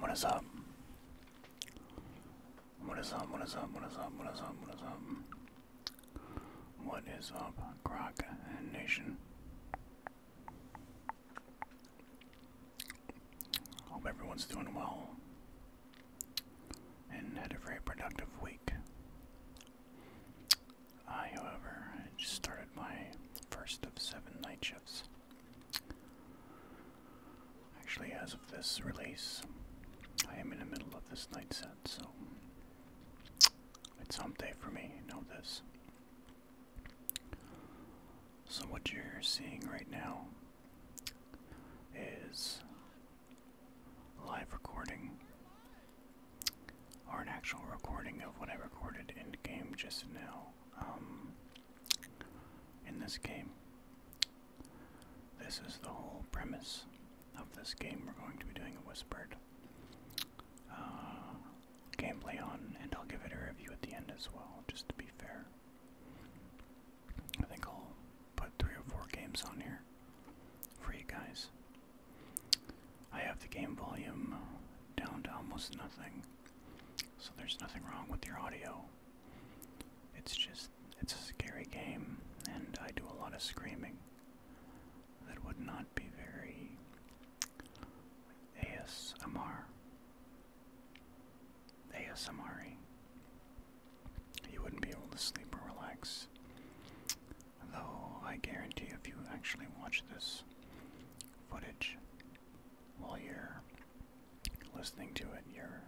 What is up? What is up? What is up? What is up? What is up? What is up? What is up, Croc Nation? Hope everyone's doing well and had a very productive week. I, however, just started my first of seven night shifts. Actually, as of this release, I am in the middle of this night set, so it's hump day for me. Know this. So, what you're seeing right now is live recording or an actual recording of what I recorded in game just now. Um, in this game, this is the whole premise of this game. We're going to be doing a whispered uh, gameplay on, and I'll give it a review at the end as well, just to be fair. I think I'll put three or four games on here for you guys. I have the game volume down to almost nothing, so there's nothing wrong with your audio. It's just, it's a scary game, and I do a lot of screaming that would not be very ASMR ASMR. You wouldn't be able to sleep or relax. Though I guarantee if you actually watch this footage while you're listening to it, you're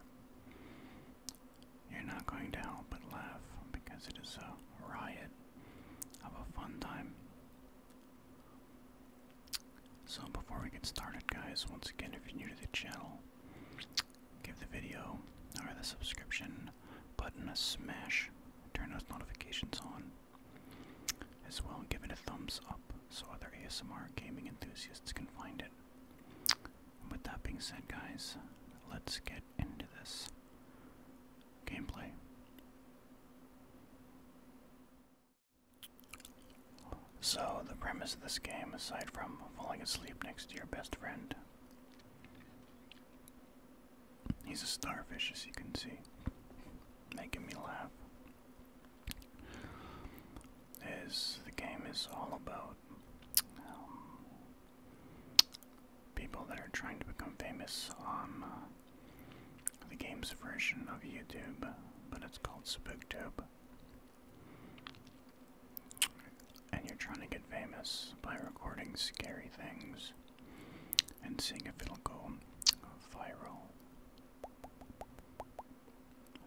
you're not going to help but laugh because it is a riot of a fun time. So before we get started, guys, once again, if you're new to the channel, give the video or the subscription button a smash, turn those notifications on, as well, and give it a thumbs up so other ASMR gaming enthusiasts can find it. with that being said, guys, let's get into this gameplay. So, the premise of this game, aside from falling asleep next to your best friend, he's a starfish as you can see, making me laugh. Is the game is all about um, people that are trying to become famous on uh, the game's version of YouTube, but it's called SpookTube and you're trying to get famous by recording scary things and seeing if it'll go viral.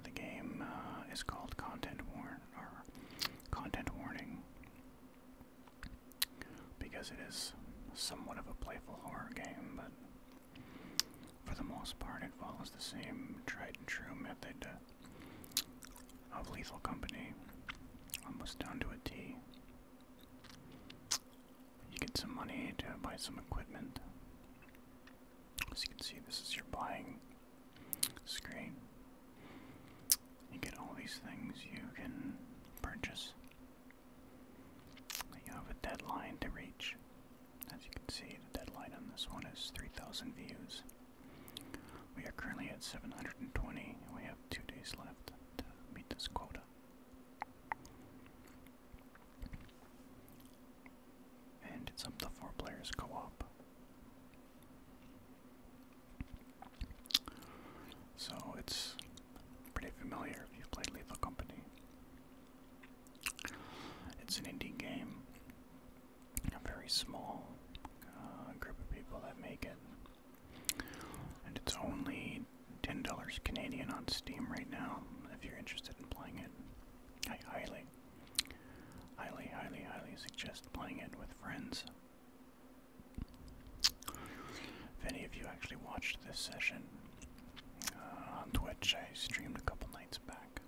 The game uh, is called Content Warning because it is somewhat of a playful horror game, but for the most part, it follows the same tried and true method uh, of Lethal Company, almost down to a T. You get some money to buy some equipment. As you can see, this is your buying screen. You get all these things you can purchase. You have a deadline to reach. As you can see, the deadline on this one is 3,000 views. We are currently at 720, and we have two days left to meet this quota. And it's up four players co op. So it's pretty familiar if you've played Lethal Company. It's an indie game. A very small uh, group of people that make it. And it's only $10 Canadian on Steam right now if you're interested in playing it. I highly, highly, highly, highly suggest playing it with friends. If any of you actually watched this session uh, on Twitch, I streamed a couple nights back.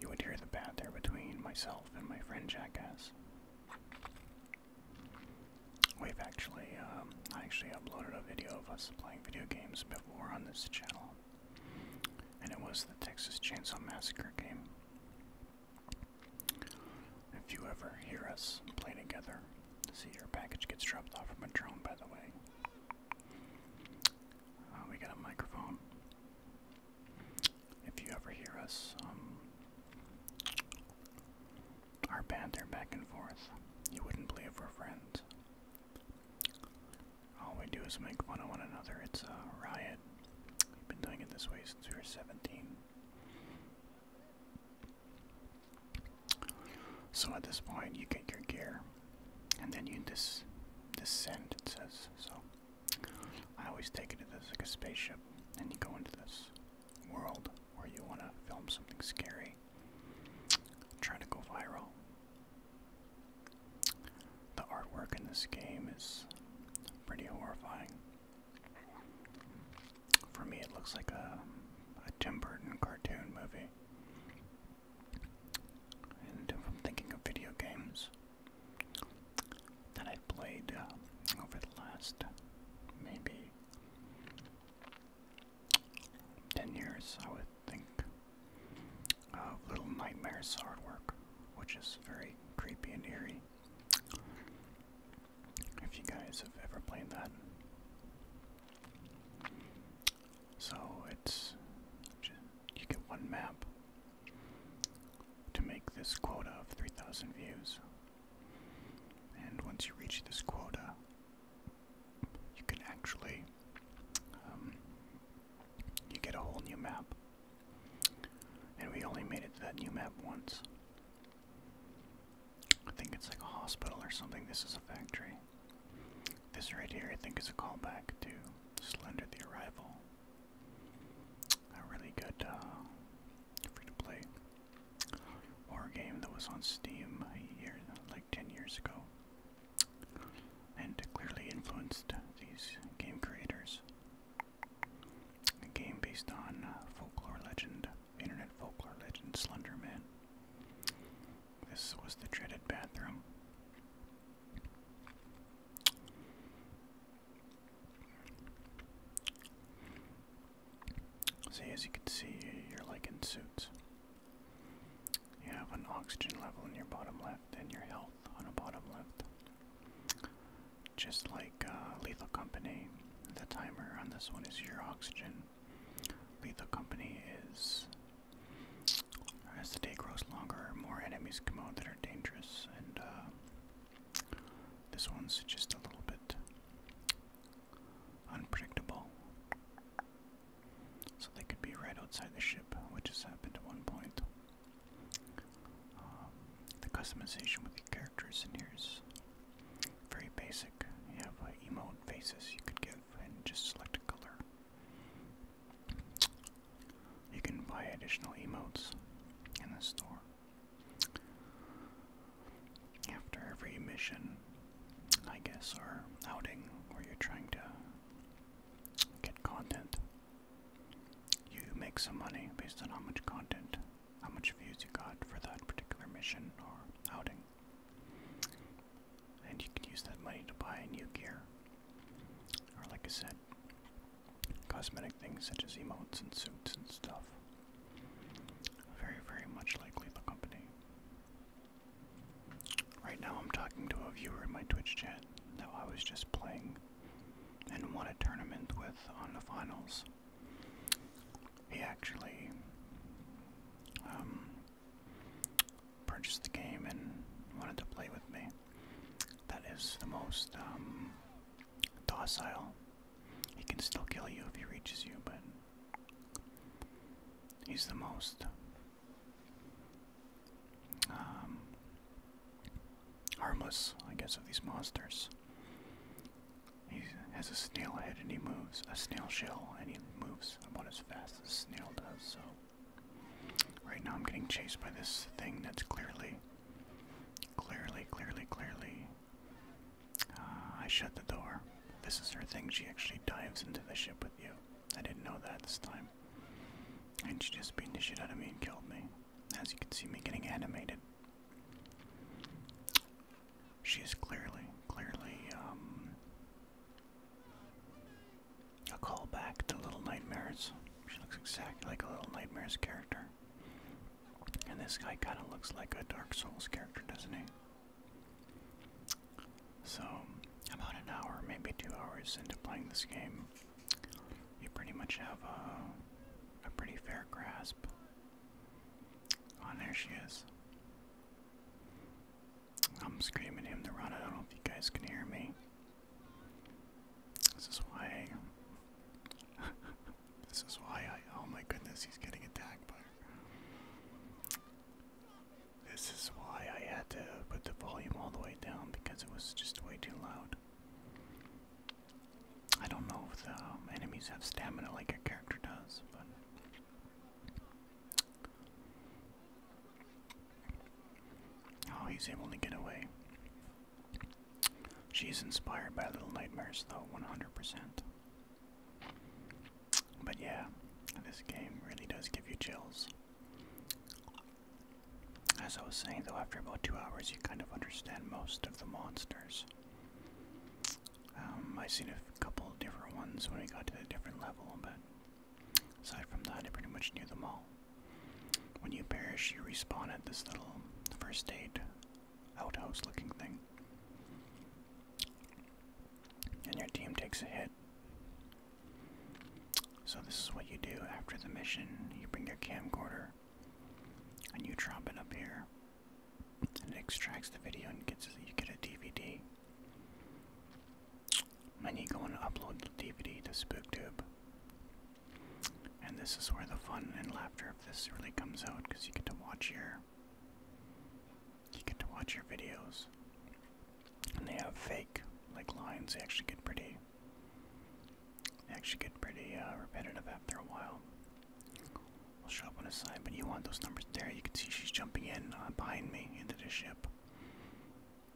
You would hear the bat between myself and my friend Jackass. We've actually, um, I actually uploaded a video of us playing video games before on this channel, and it was the Texas Chainsaw Massacre game. If you ever hear us play together, see your package gets dropped off from a drone, by the way. Oh, we got a microphone. If you ever hear us, um, our banter back and forth, you wouldn't believe we're friends. All we do is make fun of one another. It's a riot. We've been doing it this way since we were 17. So at this point, you get your gear and then you descend it says so I always take it as like a spaceship and you go into this world where you want to film something scary trying to go viral the artwork in this game is pretty horrifying for me it looks like a Tim Burton cartoon movie and if I'm thinking of video games that I've played uh, over the last maybe 10 years, I would think of Little Nightmares hard work, which is very creepy and eerie. If you guys have ever played that, so it's just, you get one map to make this quota of 3,000 views. And once you reach this quota, you can actually um, you get a whole new map. And we only made it to that new map once. I think it's like a hospital or something. This is a factory. This right here, I think, is a callback to Slender the Arrival. A really good uh, free to play horror game that was on Steam a like 10 years ago. And clearly influenced these game creators. A game based on uh, folklore legend, internet folklore legend Slenderman. This was the dreaded bathroom. See, as you can see, you're like in suits. You have an oxygen level in your bottom left and your health on a bottom left. Just like uh, Lethal Company, the timer on this one is your oxygen. Lethal Company is as the day grows longer, more enemies come out that are dangerous, and uh, this one's just a little bit unpredictable. So they could be right outside the ship, which has happened at one point. Um, the customization with the characters in here is very basic. You have an uh, emote faces you could give and just select a color. You can buy additional emotes in the store. After every mission, I guess, or outing where you're trying to get content, you make some money based on how much content, how much views you got for that particular mission or outing and you can use that money to buy new gear. Or, like I said, cosmetic things such as emotes and suits and stuff. Very, very much like the Company. Right now, I'm talking to a viewer in my Twitch chat that I was just playing and won a tournament with on the finals. He actually um, purchased the game and wanted to play with me. That is the most um, docile. He can still kill you if he reaches you, but he's the most um, harmless, I guess, of these monsters. He has a snail head and he moves, a snail shell, and he moves about as fast as a snail does, so Right now I'm getting chased by this thing that's clearly, clearly, clearly, clearly. Uh, I shut the door. This is her thing. She actually dives into the ship with you. I didn't know that this time. And she just beat the shit out of me and killed me. As you can see me getting animated. She is clearly, clearly, um, a back to Little Nightmares. She looks exactly like a Little Nightmares character. And this guy kind of looks like a Dark Souls character, doesn't he? So, about an hour, maybe two hours into playing this game, you pretty much have a, pretty fair grasp. On there she is. I'm screaming him to run. I don't know if you guys can hear me. This is why. this is why I. Oh my goodness, he's getting attacked by. This is why I had to put the volume all the way down because it was just way too loud. I don't know if the um, enemies have stamina like a character does, but Oh, he's able to get away. She's inspired by Little Nightmares, though, 100%. But yeah, this game really does give you chills. As I was saying, though, after about two hours, you kind of understand most of the monsters. Um, I've seen a couple different ones when we got to a different level, but Aside from that, I pretty much knew them all. When you perish, you respawn at this little first aid outhouse looking thing. And your team takes a hit. So, this is what you do after the mission you bring your camcorder and you drop it up here. And it extracts the video and gets you get a DVD. I need going to upload the DVD to SpookTube. And this is where the fun and laughter of this really comes out because you get to watch your you get to watch your videos. And they have fake like lines, they actually get pretty actually get pretty uh, repetitive after a while. I'll show up on a side, but you want those numbers there. You can see she's jumping in uh, behind me into the ship.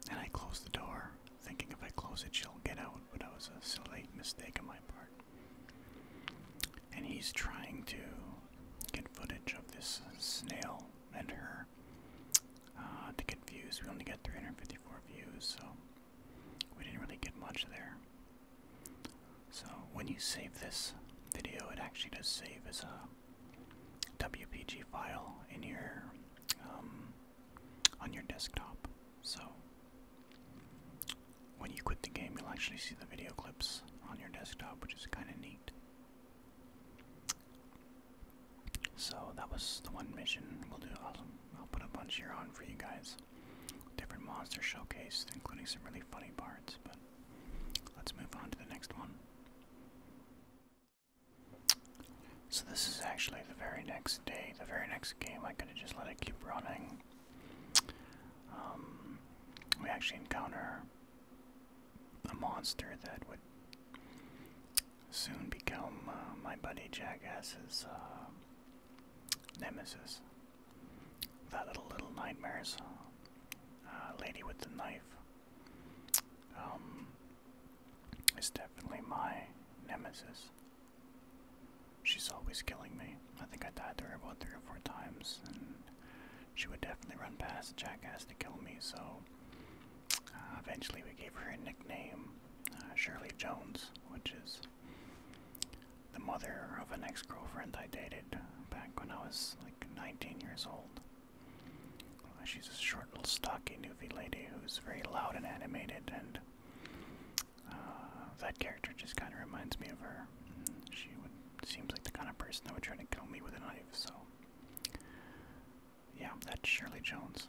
And I closed the door, thinking if I close it, she'll get out, but that was a silly mistake on my part. And he's trying to get footage of this snail and her. Uh, to get views, we only get 354 views, so we didn't really get much there. So when you save this video, it actually does save as a WPG file in your um, on your desktop. So when you quit the game, you'll actually see the video clips on your desktop, which is kind of neat. So that was the one mission. We'll do. I'll put a bunch here on for you guys. Different monster showcased, including some really funny parts. But let's move on to the next one. So this is actually the very next day, the very next game. I could have just let it keep running. Um, we actually encounter a monster that would soon become uh, my buddy Jackass's uh, nemesis. That little little nightmares. Uh, lady with the knife um, is definitely my nemesis. She's always killing me. I think I died there about three or four times, and she would definitely run past Jackass to kill me, so uh, eventually we gave her a nickname, uh, Shirley Jones, which is the mother of an ex girlfriend I dated back when I was like 19 years old she's a short, little, stocky, newfie lady who's very loud and animated, and uh, that character just kind of reminds me of her. She would, seems like the kind of person that would try to kill me with a knife, so. Yeah, that's Shirley Jones.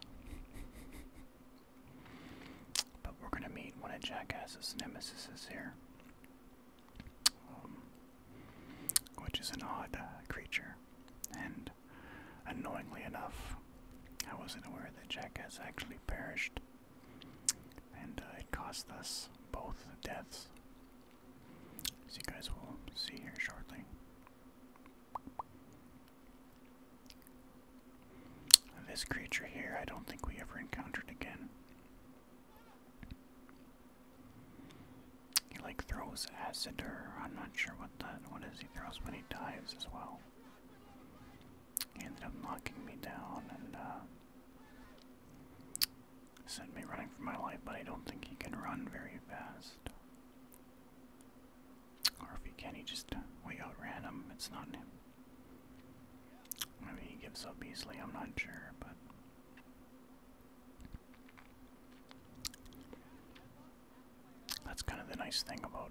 but we're gonna meet one of Jackass's nemesis here. Um, which is an odd uh, creature. And annoyingly enough, I wasn't aware that Jack has actually perished, and uh, it cost us both deaths, as you guys will see here shortly. This creature here, I don't think we ever encountered again. He like throws acid or I'm not sure what that what is he throws, but he dives as well. He ended up knocking me down and uh, sent me running for my life, but I don't think he can run very fast. Or if he can he just way outran him, it's not him. Maybe he gives up easily, I'm not sure, but that's kind of the nice thing about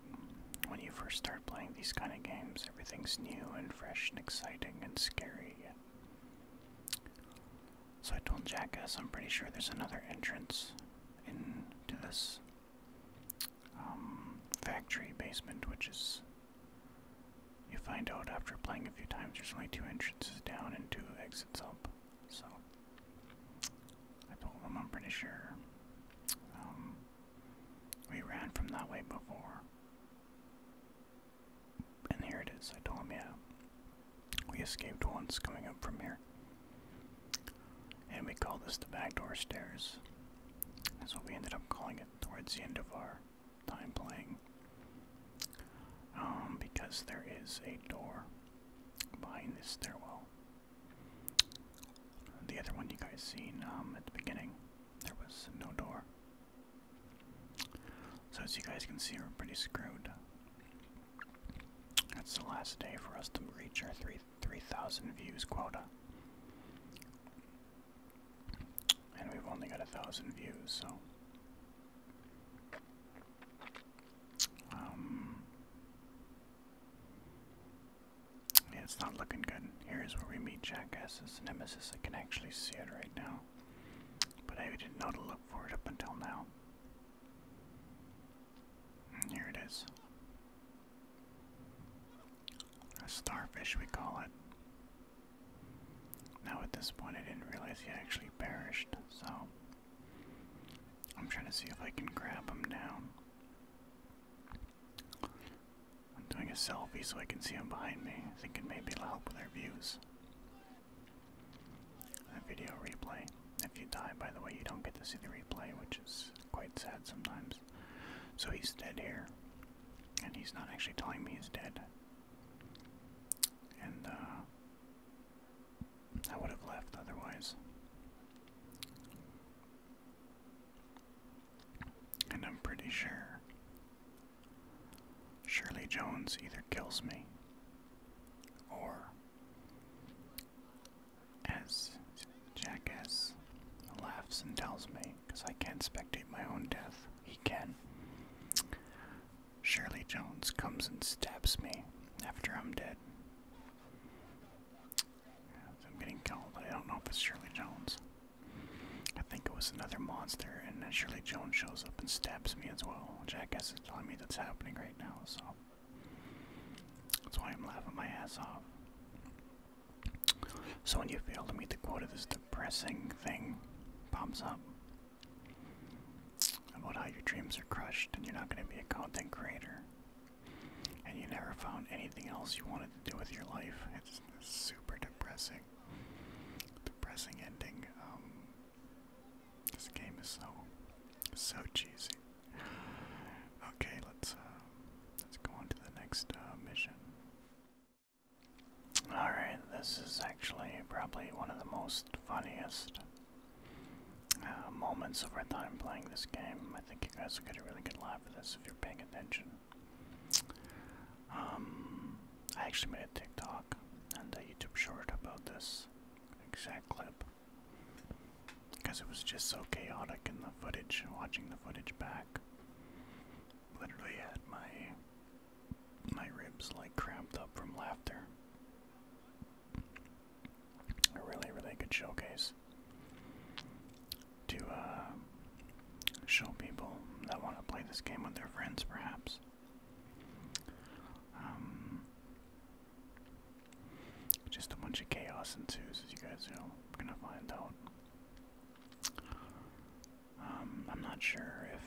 when you first start playing these kind of games. Everything's new and fresh and exciting and scary. So I told Jackass I'm pretty sure there's another entrance into this um, factory basement, which is. You find out after playing a few times there's only two entrances down and two exits up. So I told him I'm pretty sure um, we ran from that way before. And here it is. I told him, yeah, we escaped once coming up from here. And we call this the back door stairs. That's what we ended up calling it towards the end of our time playing. Um, because there is a door behind this stairwell. The other one you guys seen um, at the beginning, there was no door. So as you guys can see, we're pretty screwed. That's the last day for us to reach our 3,000 views quota. And we've only got a thousand views, so um, it's not looking good. Here is where we meet Jackass's nemesis. I can actually see it right now, but I didn't know to look for it up until now. And mm, here it is. A starfish, we call it. Now, at this point, I didn't realize he actually perished, so I'm trying to see if I can grab him down. I'm doing a selfie so I can see him behind me, thinking maybe it'll help with our views. A video replay. If you die, by the way, you don't get to see the replay, which is quite sad sometimes. So he's dead here, and he's not actually telling me he's dead. And, uh, I would have left otherwise. And I'm pretty sure Shirley Jones either kills me or, as Jackass laughs and tells me, because I can't spectate my own death, he can. Shirley Jones comes and stabs me after I'm dead. I'm getting killed, but I don't know if it's Shirley Jones. I think it was another monster, and then Shirley Jones shows up and stabs me as well, Jack is telling me that's happening right now, so. That's why I'm laughing my ass off. So when you fail to meet the quota, this depressing thing pops up about how your dreams are crushed and you're not going to be a content creator. And you never found anything else you wanted to do with your life. It's super depressing. Depressing ending. Um, this game is so, so cheesy. Okay, let's uh, let's go on to the next uh, mission. All right, this is actually probably one of the most funniest uh, moments of our time playing this game. I think you guys will get a really good laugh at this if you're paying attention. Um, I actually made a TikTok and a YouTube short about this exact clip because it was just so chaotic in the footage, watching the footage back. Literally had my my ribs like cramped up from laughter a really, really good showcase to uh, show people that want to play this game with their friends, perhaps. Um, just a bunch of chaos and twos, as you guys are gonna find out. Um, I'm not sure if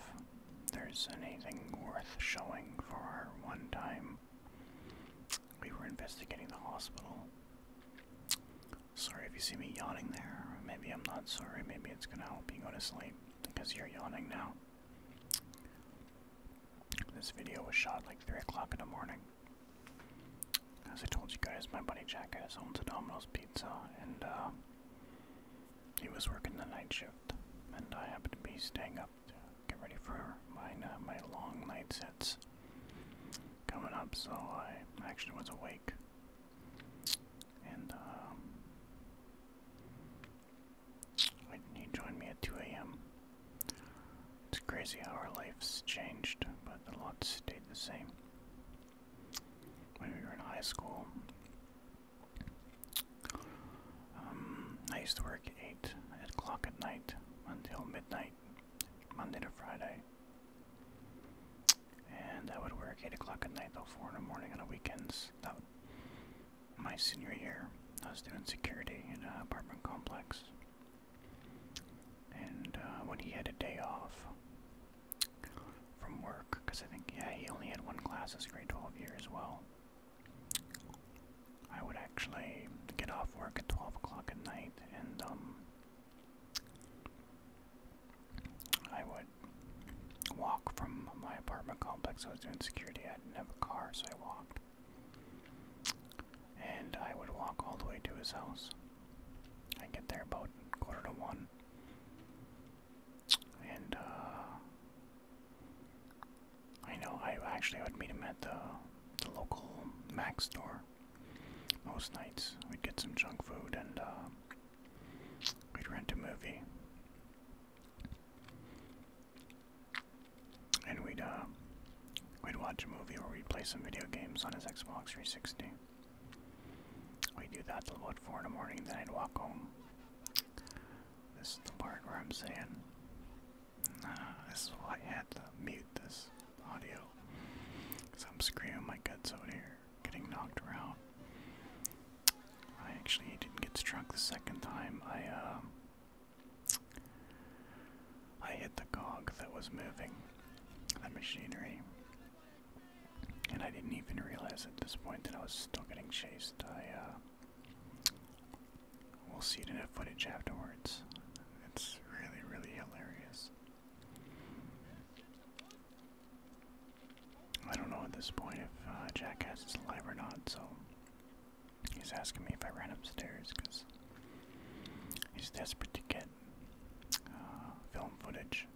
there's anything worth showing for our one time we were investigating the hospital. Sorry if you see me yawning there. Maybe I'm not sorry. Maybe it's going to help you go to sleep because you're yawning now. This video was shot like 3 o'clock in the morning. As I told you guys, my buddy Jack has owns Domino's Pizza, and uh, he was working the night shift, and I happened to be staying up get ready for my uh, my long night sets coming up. So I actually was awake, and um, he joined me at 2 a.m. It's crazy how our lives changed, but a lot stayed the same. When we were in high school, um, I used to work 8 o'clock at night until midnight, Monday to Friday. And I would work 8 o'clock at night till 4 in the morning on the weekends. That my senior year, I was doing security in an apartment complex. And uh, when he had a day off from work, because I think, yeah, he only had one class his grade 12 year as well. I would actually get off work at 12 o'clock at night and um, I would walk from my apartment complex. I was doing security, I didn't have a car, so I walked. And I would walk all the way to his house. I get there about quarter to one. And uh, I know, I actually would meet him at the, the local Mac store most nights. We'd get some junk food and uh, we'd rent a movie. And we'd, uh, we'd watch a movie or we'd play some video games on his Xbox 360. We'd do that till about 4 in the morning, then I'd walk home. This is the part where I'm saying, this is why I had to mute this audio. Because I'm screaming my guts out here, getting knocked around. I actually didn't get struck the second time. I, uh, I hit the cog that was moving, the machinery. And I didn't even realize at this point that I was still getting chased. I, uh, We'll see it in the footage afterwards. It's really, really hilarious. I don't know at this point if uh, Jackass is alive or not, so he's asking me if I ran upstairs because he's desperate to get uh, film footage.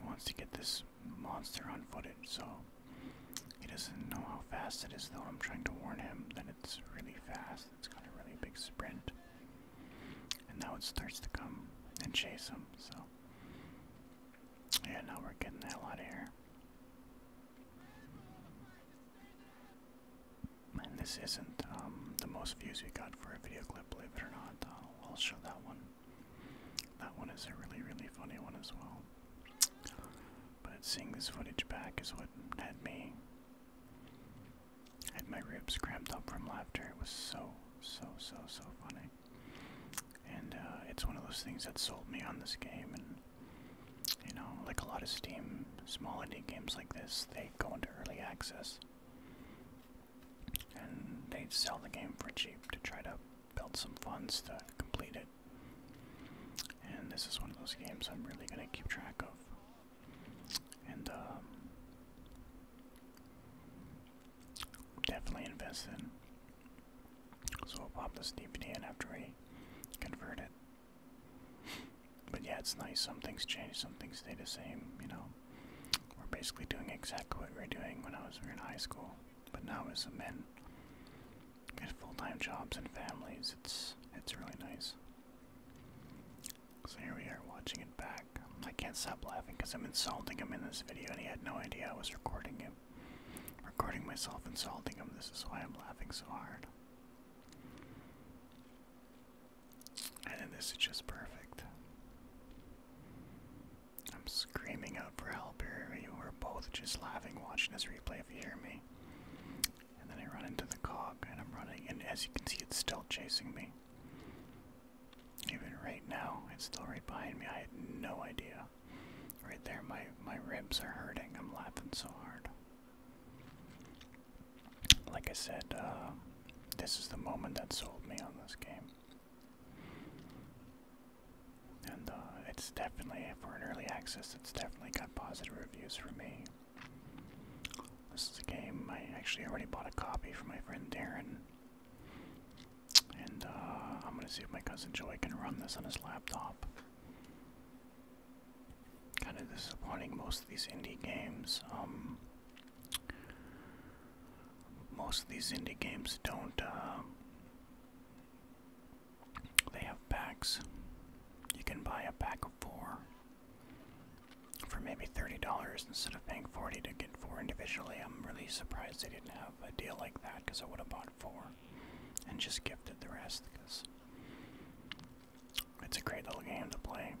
He wants to get this monster on footed, so he doesn't know how fast it is, though. I'm trying to warn him that it's really fast, it's got a really big sprint. And now it starts to come and chase him, so. Yeah, now we're getting the hell out of here. And this isn't um, the most views we got for a video clip, believe it or not. I'll show that one. That one is a really, really funny one as well. But seeing this footage back is what had me. Had my ribs cramped up from laughter. It was so, so, so, so funny. And uh, it's one of those things that sold me on this game. And, you know, like a lot of Steam, small indie games like this, they go into early access. And they sell the game for cheap to try to build some funds to complete it. And this is one of those games I'm really going to keep track of. And um, definitely invest in. So i will pop this DVD in after we convert it. But yeah, it's nice. Some things change, some things stay the same, you know. We're basically doing exactly what we were doing when I was in high school, but now with some men get full-time jobs and families. It's it's really nice. So here we are watching it back. I can't stop laughing because I'm insulting him in this video, and he had no idea I was recording him. Recording myself insulting him. This is why I'm laughing so hard. And then this is just perfect. I'm screaming out for help here both just laughing watching this replay, if you hear me. And then I run into the cog, and I'm running, and as you can see, it's still chasing me. Even right now, it's still right behind me. I had no idea. Right there, my my ribs are hurting. I'm laughing so hard. Like I said, uh, this is the moment that sold me on this game and uh, it's definitely for an early access. It's definitely got positive reviews for me. This is a game I actually already bought a copy for my friend Darren, and uh, I'm gonna see if my cousin Joey can run this on his laptop. Kind of disappointing. Most of these indie games, um, most of these indie games don't. Uh, they have packs. You can buy a pack of four for maybe $30 instead of paying 40 to get four individually. I'm really surprised they didn't have a deal like that because I would have bought four and just gifted the rest because it's a great little game to play.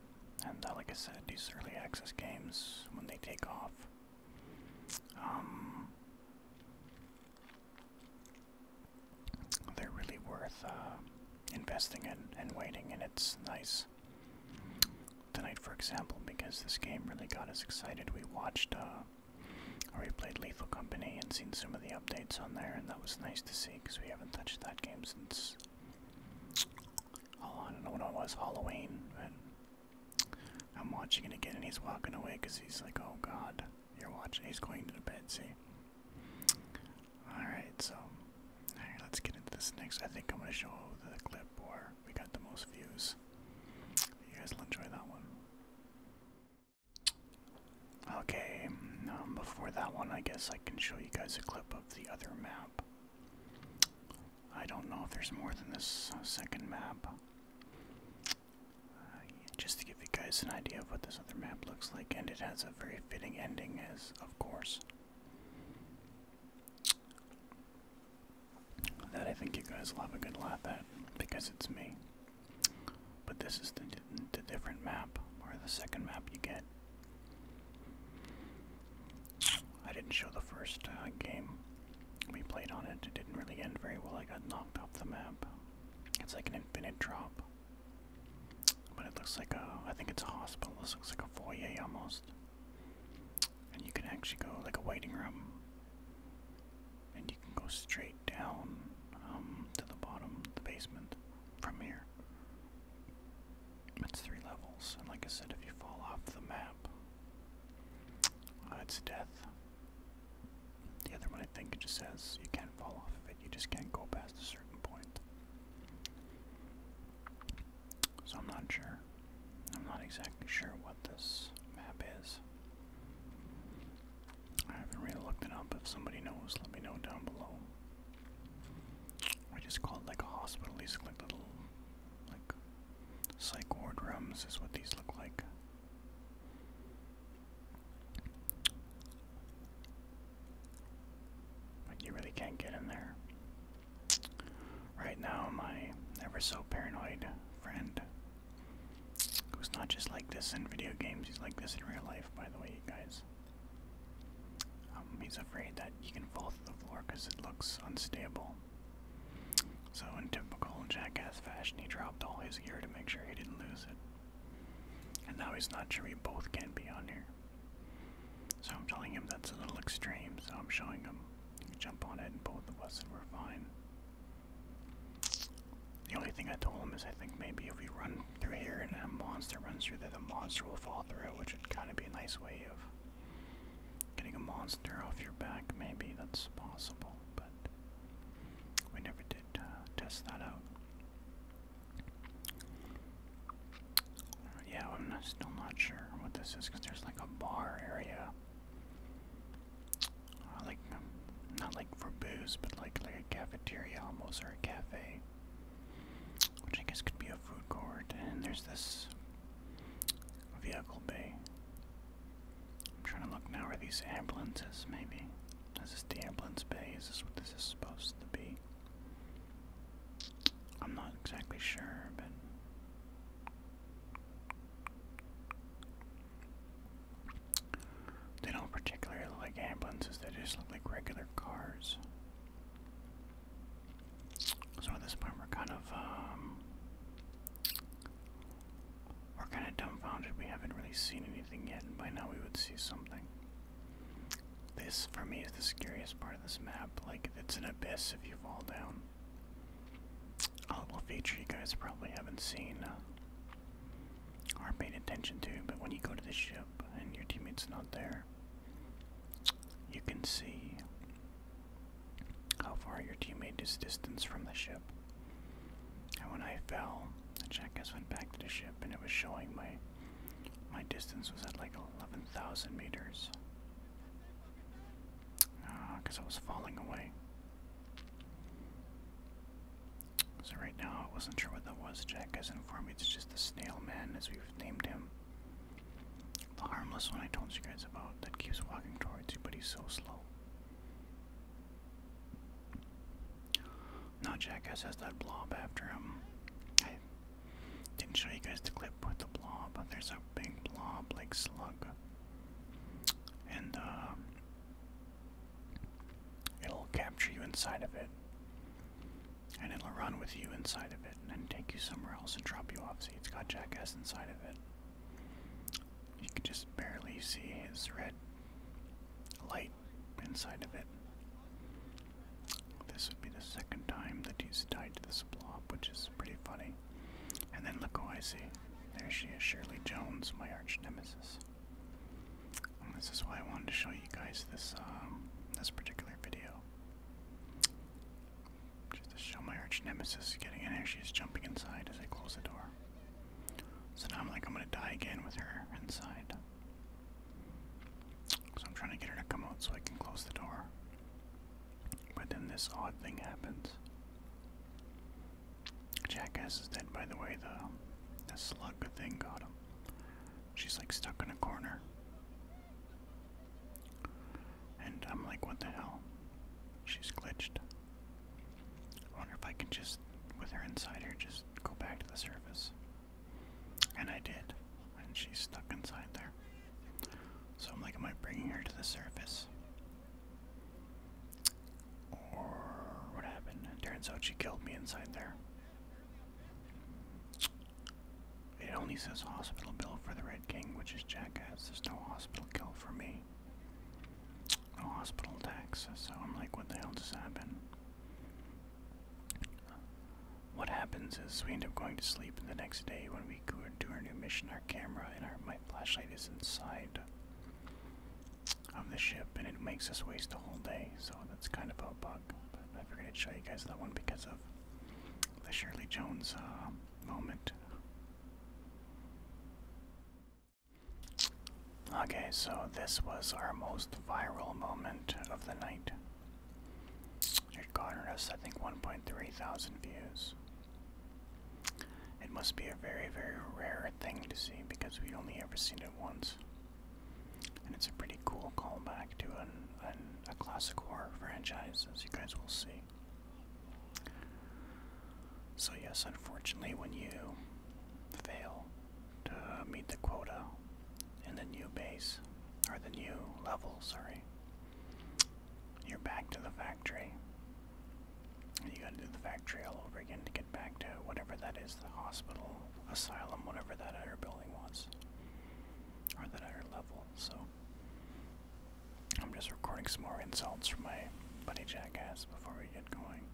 And uh, like I said, these early access games, when they take off, um, they're really worth uh, investing in and waiting, and it's nice. Tonight, for example, because this game really got us excited, we watched uh, or we played Lethal Company and seen some of the updates on there, and that was nice to see because we haven't touched that game since. Oh, I don't know what it was, Halloween, but I'm watching it again and he's walking away because he's like, oh god. You're watching. He's going to the bed. See. All right. So, all right. Let's get into this next. I think I'm gonna show the clip where we got the most views. You guys will enjoy that one. Okay, um, before that one, I guess I can show you guys a clip of the other map. I don't know if there's more than this uh, second map. Uh, just to give you guys an idea of what this other map looks like, and it has a very fitting ending, as of course. That I think you guys will have a good laugh at because it's me. But this is the, different map, or the second map you get. I didn't show the first uh, game we played on it, it didn't really end very well. I got knocked off the map. It's like an infinite drop. But it looks like a, I think it's a hospital. This looks like a foyer almost. And you can actually go like a waiting room. And you can go straight down um, to the bottom, the basement, from here. It's three levels, and like I said, if you fall off the map, uh, it's death. The other one, I think, it just says you can't fall off of it, you just can't go past a certain point. So I'm not sure. I'm not exactly sure what this map is. I haven't really looked it up. If somebody knows, let me know down below. I just call it like a hospital. These look like little, like, psych ward rooms is what these look like. Like you really can't get in there. Right now, my ever so paranoid friend, who's not just like this in video games, he's like this in real life, by the way, guys. Um, he's afraid that he can fall through the floor because it looks unstable. So, in typical jackass fashion, he dropped all his gear to make sure he didn't lose it. And now he's not sure we both can be on here. So, I'm telling him that's a little extreme, so I'm showing him. jump on it, and both of us, and we fine. The only thing I told him is I think maybe if we run through here and a monster runs through there, the monster will fall through, which would kind of be a nice way of getting a monster off your back. Maybe that's possible, but we never did uh, test that out. yeah, I'm still not sure what this is because there's like a bar area. Uh, like, not like for booze, but like, like a cafeteria almost, or a cafe. Which I guess could be a food court. And there's this vehicle bay. I'm trying to look now. Are these ambulances? Maybe. Is this the ambulance bay? Is this what this is supposed to be? I'm not exactly sure, but. They don't particularly look like ambulances, they just look like regular cars. So at this point, we're kind of um, we're kind of dumbfounded. We haven't really seen anything yet, and by now we would see something. This, for me, is the scariest part of this map. Like, it's an abyss if you fall down. A little feature you guys probably haven't seen uh, or paid attention to, but when you go to the ship and your teammate's not there, you can see how far your teammate is distance from the ship. And when I fell, the jackass went back to the ship, and it was showing my my distance was at like eleven thousand meters. Ah, because I was falling away. So right now I wasn't sure what that was. Jack has informed me it's just the snail man, as we've named him. The harmless one I told you guys about that keeps walking towards you, but he's so slow. No, Jackass has that blob after him. I didn't show you guys the clip with the blob, but there's a big blob like slug. And uh, it'll capture you inside of it. And it'll run with you inside of it and take you somewhere else and drop you off. See it's got jackass inside of it. You can just barely see his red light inside of it. This would be the second time that he's tied to this blob, which is pretty funny. And then look who I see. There she is, Shirley Jones, my arch nemesis. this is why I wanted to show you guys this um, this particular video. Just to show my arch nemesis getting in there, she's jumping inside as I close the door. So now I'm like, I'm gonna die again with her inside. So I'm trying to get her to come out so I can close the door. But then this odd thing happens. Jackass is dead, by the way. The, the slug thing got him. She's like stuck in a corner. And I'm like, what the hell? She's glitched. I wonder if I can just, with her inside her, just go back to the surface. And I did. And she's stuck inside there. So I'm like, am I bringing her to the surface? Or what happened? turns out she killed me inside there. It only says hospital bill for the Red King, which is jackass. There's no hospital bill for me a hospital tax. So I'm like, what the hell just happened? What happens is we end up going to sleep, and the next day when we go to our new mission, our camera and our my flashlight is inside of the ship, and it makes us waste a whole day. So that's kind of a bug. But I figured I'd show you guys that one because of the Shirley Jones uh, moment. Okay, so this was our most viral moment of the night. It garnered us, I think, 1.3 thousand views. It must be a very, very rare thing to see because we only ever seen it once. And it's a pretty cool callback to a classic horror franchise, as you guys will see. So, yes, unfortunately, when you fail to meet the quota in the new base, or the new level, sorry, you're back to the factory. And you gotta do the factory all over again to get back to whatever that is the hospital, asylum, whatever that other building was, or that other level. So, I'm just recording some more insults from my buddy Jackass before we get going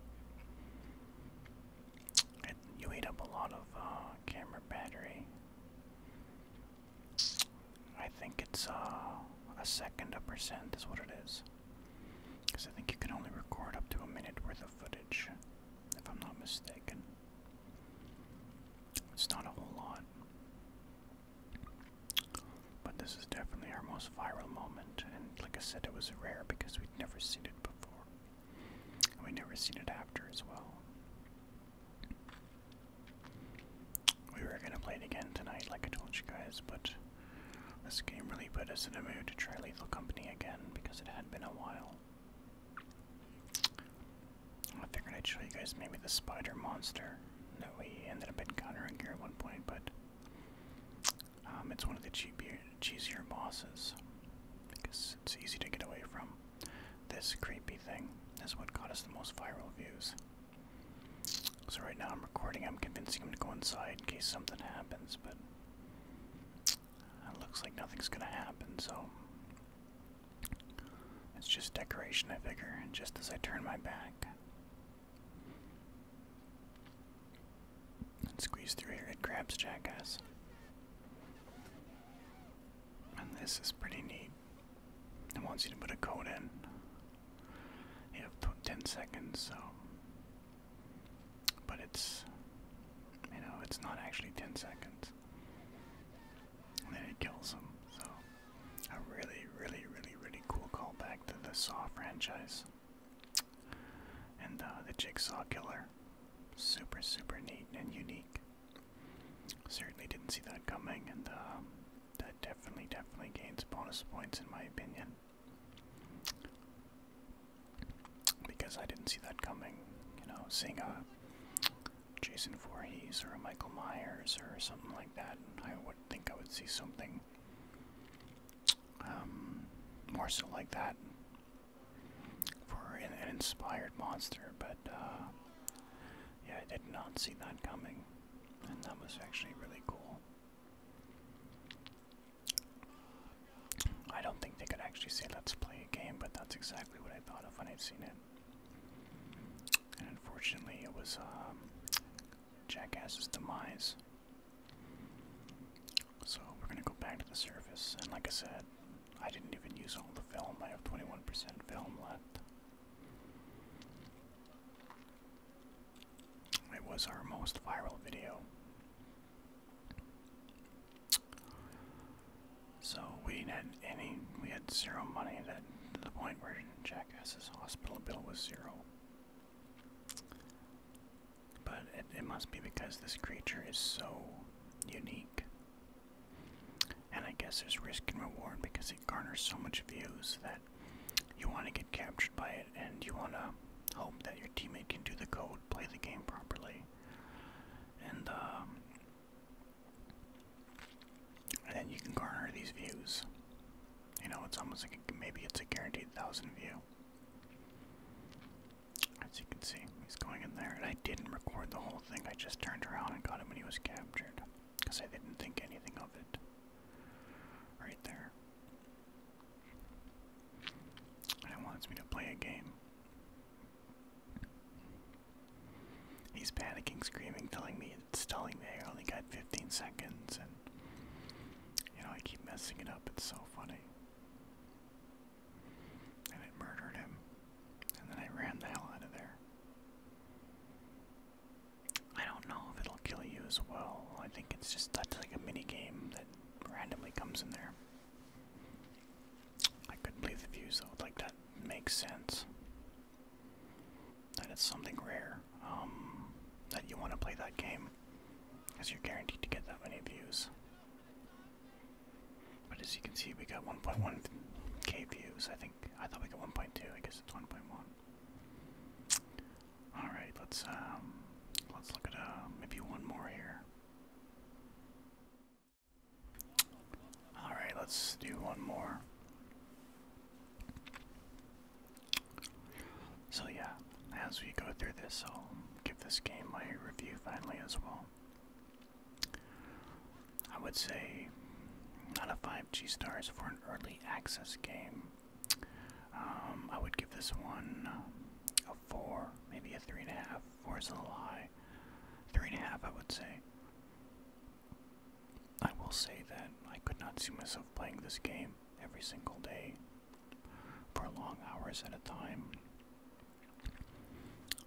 you ate up a lot of uh, camera battery. I think it's uh, a second a percent is what it is. Because I think you can only record up to a minute worth of footage, if I'm not mistaken. It's not a whole lot. But this is definitely our most viral moment, and like I said, it was rare because we'd never seen it before. And we'd never seen it after as well. We were gonna play it again tonight, like I told you guys, but this game really put us in a mood to try Lethal Company again because it had been a while. I figured I'd show you guys maybe the spider monster that we ended up encountering here at one point, but um, it's one of the cheaper, cheesier bosses because it's easy to get away from. This creepy thing is what got us the most viral views. So right now I'm recording. I'm convincing him to go inside in case something happens, but it looks like nothing's gonna happen. So it's just decoration, I figure. And just as I turn my back, let squeeze through here. It grabs jackass. And this is pretty neat. It wants you to put a code in. You have 10 seconds, so. But it's. You know, it's not actually 10 seconds. And then it kills him. so. A really, really, really, really cool callback to the Saw franchise and uh, the Jigsaw Killer. Super, super neat and unique. Certainly didn't see that coming, and uh, that definitely, definitely gains bonus points in my opinion. Because I didn't see that coming, you know, seeing a uh, Jason Voorhees or a Michael Myers or something like that, I would think I would see something um, more so like that for an, inspired monster, but uh, yeah, I did not see that coming, and that was actually really cool. I don't think they could actually say let's play a game, but that's exactly what I thought of when I'd seen it. And unfortunately, it was um, Jackass's demise. So we're gonna go back to the surface, and like I said, I didn't even use all the film. I have 21% film left. It was our most viral video. So we had any, we had zero money that, to the point where Jackass's hospital bill was zero. But it, must be because this creature is so unique. And I guess there's risk and reward because it garners so much views that you want to get captured by it and you want to hope that your teammate can do the code, play the game properly. And, um, then you can garner these views. You know, it's almost like maybe it's a guaranteed thousand view. As you can see, he's going in there. I didn't record the whole thing, I just turned around and got him when he was captured. Because I didn't think anything of it. Right there. And wants me to play a game. He's panicking, screaming, telling me it's me I only got 15 seconds you know, I keep messing it up. It's so funny. And it murdered him. And then I ran the hell out of there. I don't know if it'll kill you as well. I think it's just that's like a mini game that randomly comes in there. I couldn't believe the views though. Like that makes sense. That something rare. Um, that you want to play that game. Because you're guaranteed to get that many views. But as you can see, we got 1.1k views. I think I thought we got 1.2. I guess it's 1.1. All right, let's um, let's look at uh, maybe one more here. All right, let's do one more. So, yeah, as we go through this, I'll give this game my review finally as well. I would say out of 5 G stars for an early access game, um, I would give this one a 4, maybe a 3.5. 4 is a little high. 3.5, I would say. I will say that I could not see myself playing this game every single day for long hours at a time.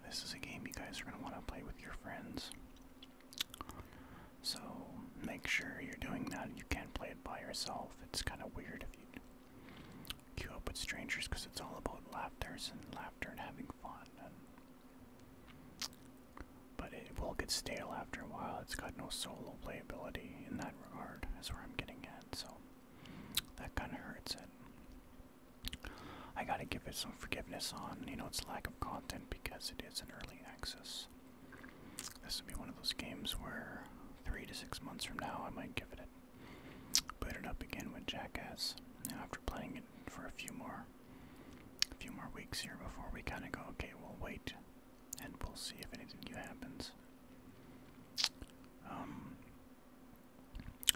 This is a game you guys are going to want to play with your friends. So make sure you're doing that. You can't play it by yourself. It's kind of weird if you queue up with strangers because it's all about laughters and laughter and having fun. but it will get stale after a while. It's got no solo playability in that regard, is where I'm getting at. So that kind of hurts it. I gotta give it some forgiveness on, you know, its lack of content because it is an early access. This will be one of those games where three to six months from now I might give it a boot it up again with Jackass. You know, after playing it for a few more, a few more weeks here before we kind of go, okay, we'll wait and we'll see if anything new happens. Um,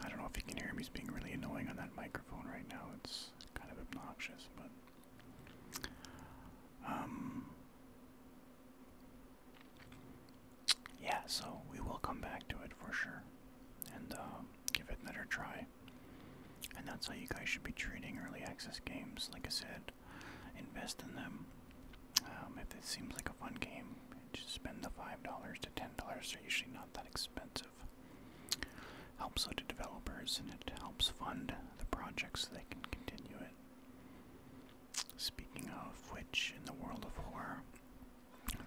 I don't know if you can hear him. He's being really annoying on that microphone right now. It's kind of obnoxious, but um, yeah. So we will come back to it for sure, and uh, give it another try. And that's how you guys should be treating early access games. Like I said, invest in them. Um, if it seems like a fun game, just spend the five dollars to ten dollars. They're usually not that expensive. Helps out the developers and it helps fund the projects so they can continue it. Speaking of which, in the world of horror,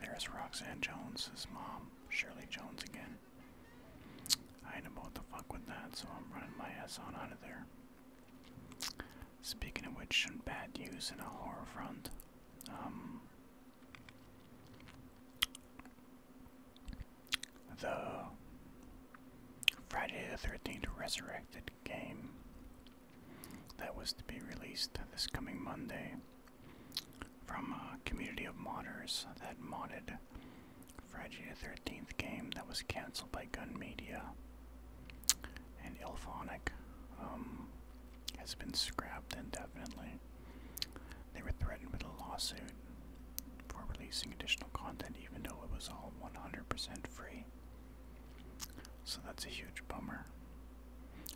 there's Roxanne Jones's mom, Shirley Jones again. I ain't about to fuck with that, so I'm running my ass on out of there. Speaking of which, bad news in a horror front. Um, the Friday the 13th Resurrected game that was to be released this coming Monday from a uh, community of modders that modded Friday the 13th game that was cancelled by Gun Media and Ilphonic um, has been scrapped indefinitely. They were threatened with a lawsuit for releasing additional content even though it was all 100% free. So that's a huge bummer.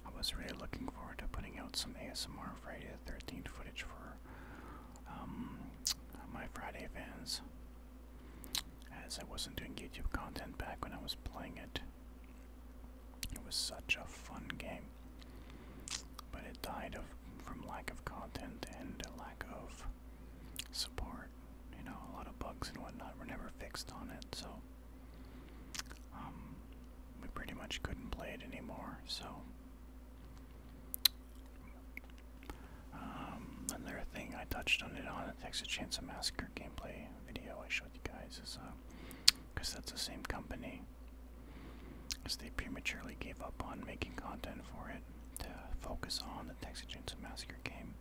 I was really looking forward to putting out some ASMR Friday the 13th footage for um, my Friday fans as I wasn't doing YouTube content back when I was playing it. It was such a fun game, but it died of from lack of content and lack of support. You know, a lot of bugs and whatnot were never fixed on it, so um, we pretty much couldn't play it anymore. So um, another thing I touched on it on the Texas Chainsaw Massacre gameplay video I showed you guys is because uh, that's the same company, as they prematurely gave up on making content for it to focus on the Texas Chainsaw Massacre game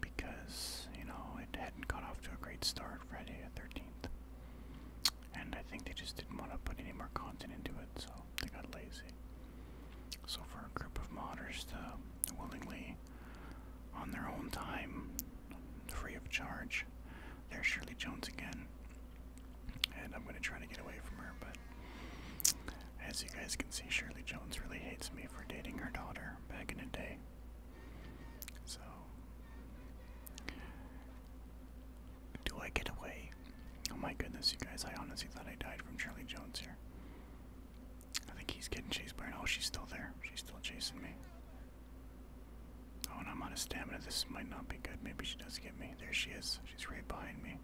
because you know it hadn't got off to a great start Friday the 13th. And I think they just didn't want to put any more content into it, so they got lazy. So for a group of modders to willingly on their own time, free of charge. There's Shirley Jones again. And I'm going to try to get away from her, but as you guys can see, Shirley Jones really hates me for dating her daughter back in the day. So, do I get away? Oh my goodness, you guys, I honestly thought I died from Shirley Jones here. I think he's getting chased by her. Oh, she's still there. She's still chasing me. Oh, and I'm on a stamina. This might not be good. Maybe she does get me. There she is. She's right behind me.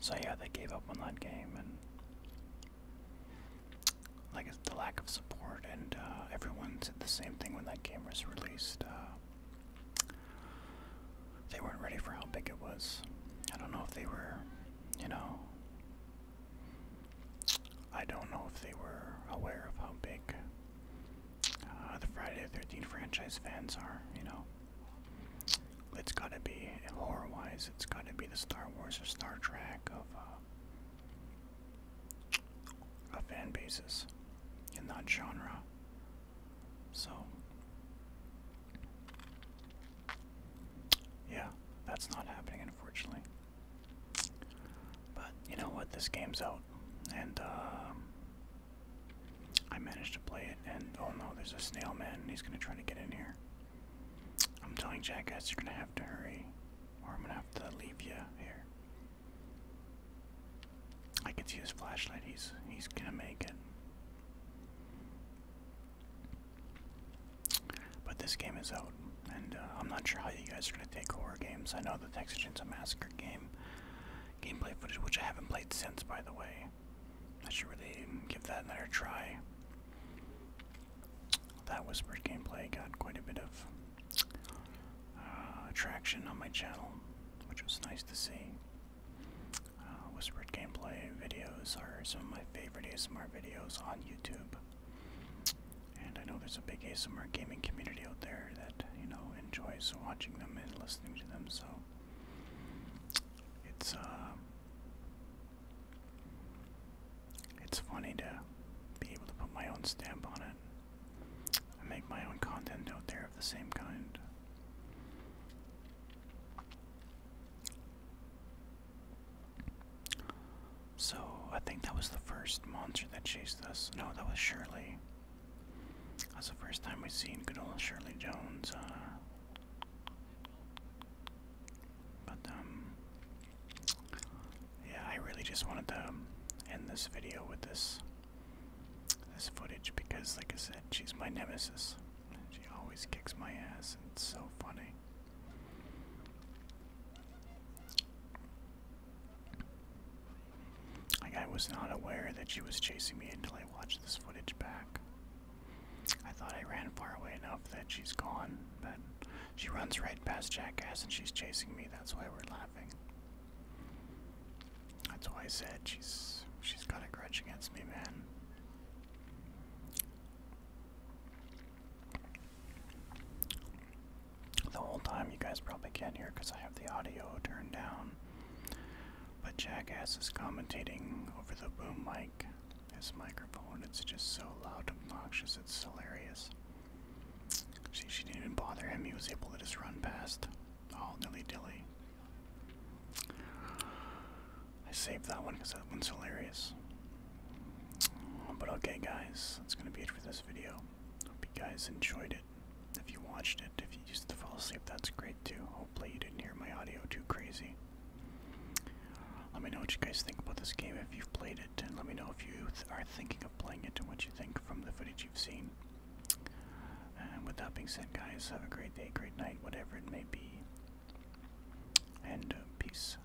So yeah, they gave up on that game, and like the lack of support, and uh, everyone said the same thing when that game was released. Uh, they weren't ready for how big it was. I don't know if they were, you know. I don't know if they were aware of how big uh, the Friday the 13th franchise fans are, you know. It's gotta be, horror wise, it's gotta be the Star Wars or Star Trek of, uh, of fan bases in that genre. So, yeah, that's not happening, unfortunately. But you know what? This game's out, and uh, I managed to play it. And oh no, there's a snail man, and he's gonna try to get in here. I'm telling Jackass, you're gonna have to hurry, or I'm gonna have to leave you here. I can see his flashlight. He's he's gonna make it. But this game is out, and uh, I'm not sure how you guys are gonna take horror games. I know the Texas a Massacre game gameplay footage, which I haven't played since, by the way. I should really give that another try. That whispered gameplay got quite a bit of uh, attraction on my channel, which was nice to see. Uh, whispered gameplay videos are some of my favorite ASMR videos on YouTube. And I know there's a big ASMR gaming community out there that, you know, enjoys watching them and listening to them, so it's uh it's funny to be able to put my own stamp on it I make my own content out there of the same kind. So, I think that was the first monster that chased us. No, that was Shirley. That's the first time we've seen good old Shirley Jones. Uh, but, um, yeah, I really just wanted to end this video with this this footage because, like I said, she's my nemesis. She always kicks my ass, and it's so funny. Like, I was not aware that she was chasing me until I watched this footage back. I thought I ran far away enough that she's gone, but she runs right past Jackass and she's chasing me. That's why we're laughing. That's why I said she's she's got a grudge against me, man. The whole time you guys probably can't hear because I have the audio turned down. But Jackass is commentating over the boom mic, his microphone. It's just so loud, obnoxious, it's hilarious. She, she didn't even bother him, he was able to just run past. Oh nilly-dilly. I saved that one because that one's hilarious. But okay guys, that's going to be it for this video. Hope you guys enjoyed it. If you watched it, if you used to fall asleep, that's great too. Hopefully you didn't hear my audio too crazy. Let me know what you guys think about this game if you've played it, and let me know if you are thinking of playing it and what you think from the footage you've seen. And with that being said, guys, have a great day, great night, whatever it may be. And uh, peace out.